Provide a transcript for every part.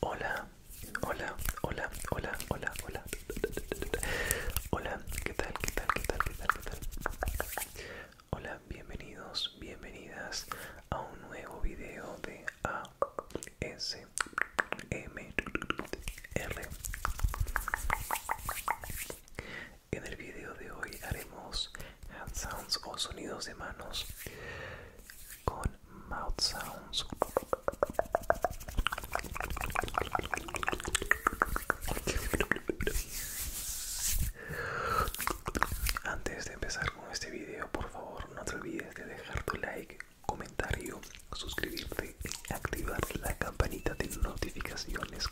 Hola, hola, hola, hola, hola, hola. Hola, ¿qué tal? ¿Qué tal? ¿Qué tal? ¿Qué tal? ¿Qué tal? Hola, bienvenidos, bienvenidas a un nuevo video de R. En el video de hoy haremos hand sounds o sonidos de manos con mouth sounds. Antes de empezar con este video, por favor no te olvides de dejar tu like, comentario, suscribirte y activar la la campanita de notificaciones.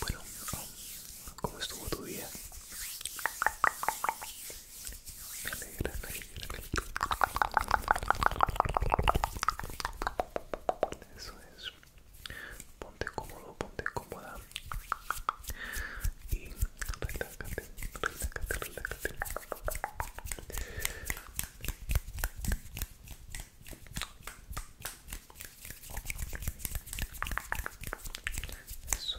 Bueno, ¿cómo estuvo tu día? Ponte cómodo, ponte cómoda y relájate, relájate, relájate. Eso,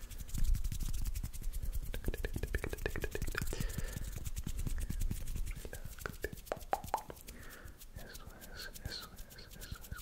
Eso es, eso es, eso es.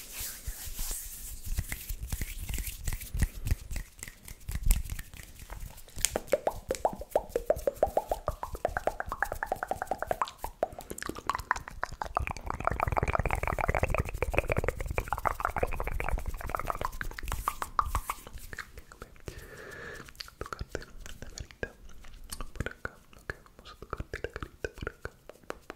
Tocarte la carita por acá, ok, vamos a tocarte la carita por acá.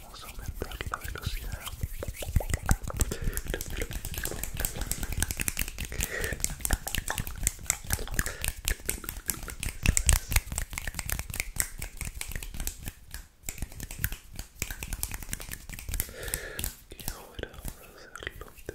Vamos a aumentar la velocidad. Y ahora vamos a hacerlo de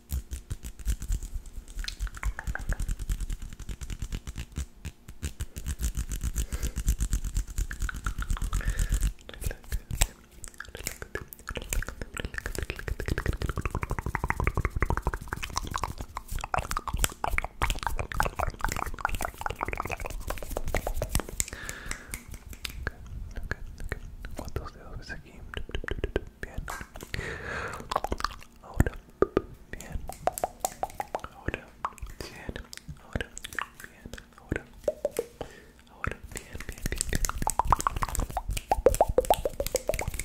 Okay, okay, ¿Cuántos dedos ves aquí? Bien ahora bien ahora bien ahora bien ahora ahora bien bien bien bien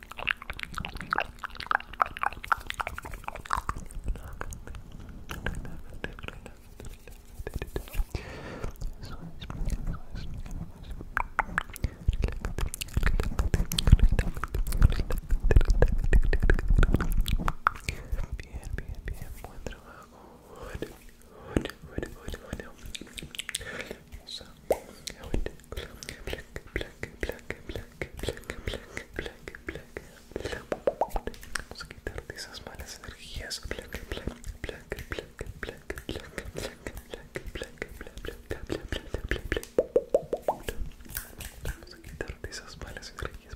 Bien, bien, bien, buen trabajo. Bueno, bueno, bueno, bueno. Vamos a de esas malas energías. Vamos a de esas malas energías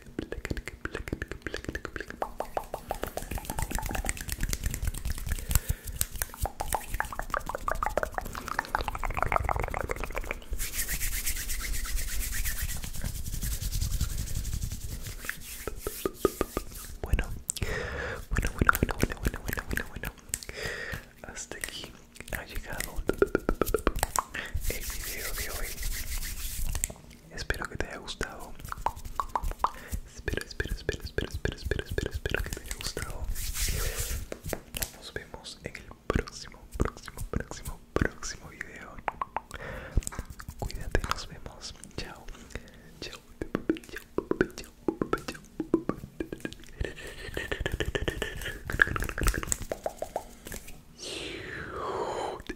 Bueno, bueno, bueno, bueno, bueno, bueno, bueno, bueno, bueno. Hasta aquí ha llegado el video de hoy. Espero que te haya gustado. Espero, espero, espero, espero, espero, espero, espero, espero que te haya gustado. Nos vemos en el próximo, próximo, próximo, próximo video. Cuídate, nos vemos. Chao. Chao. Chao. Chao. Chao.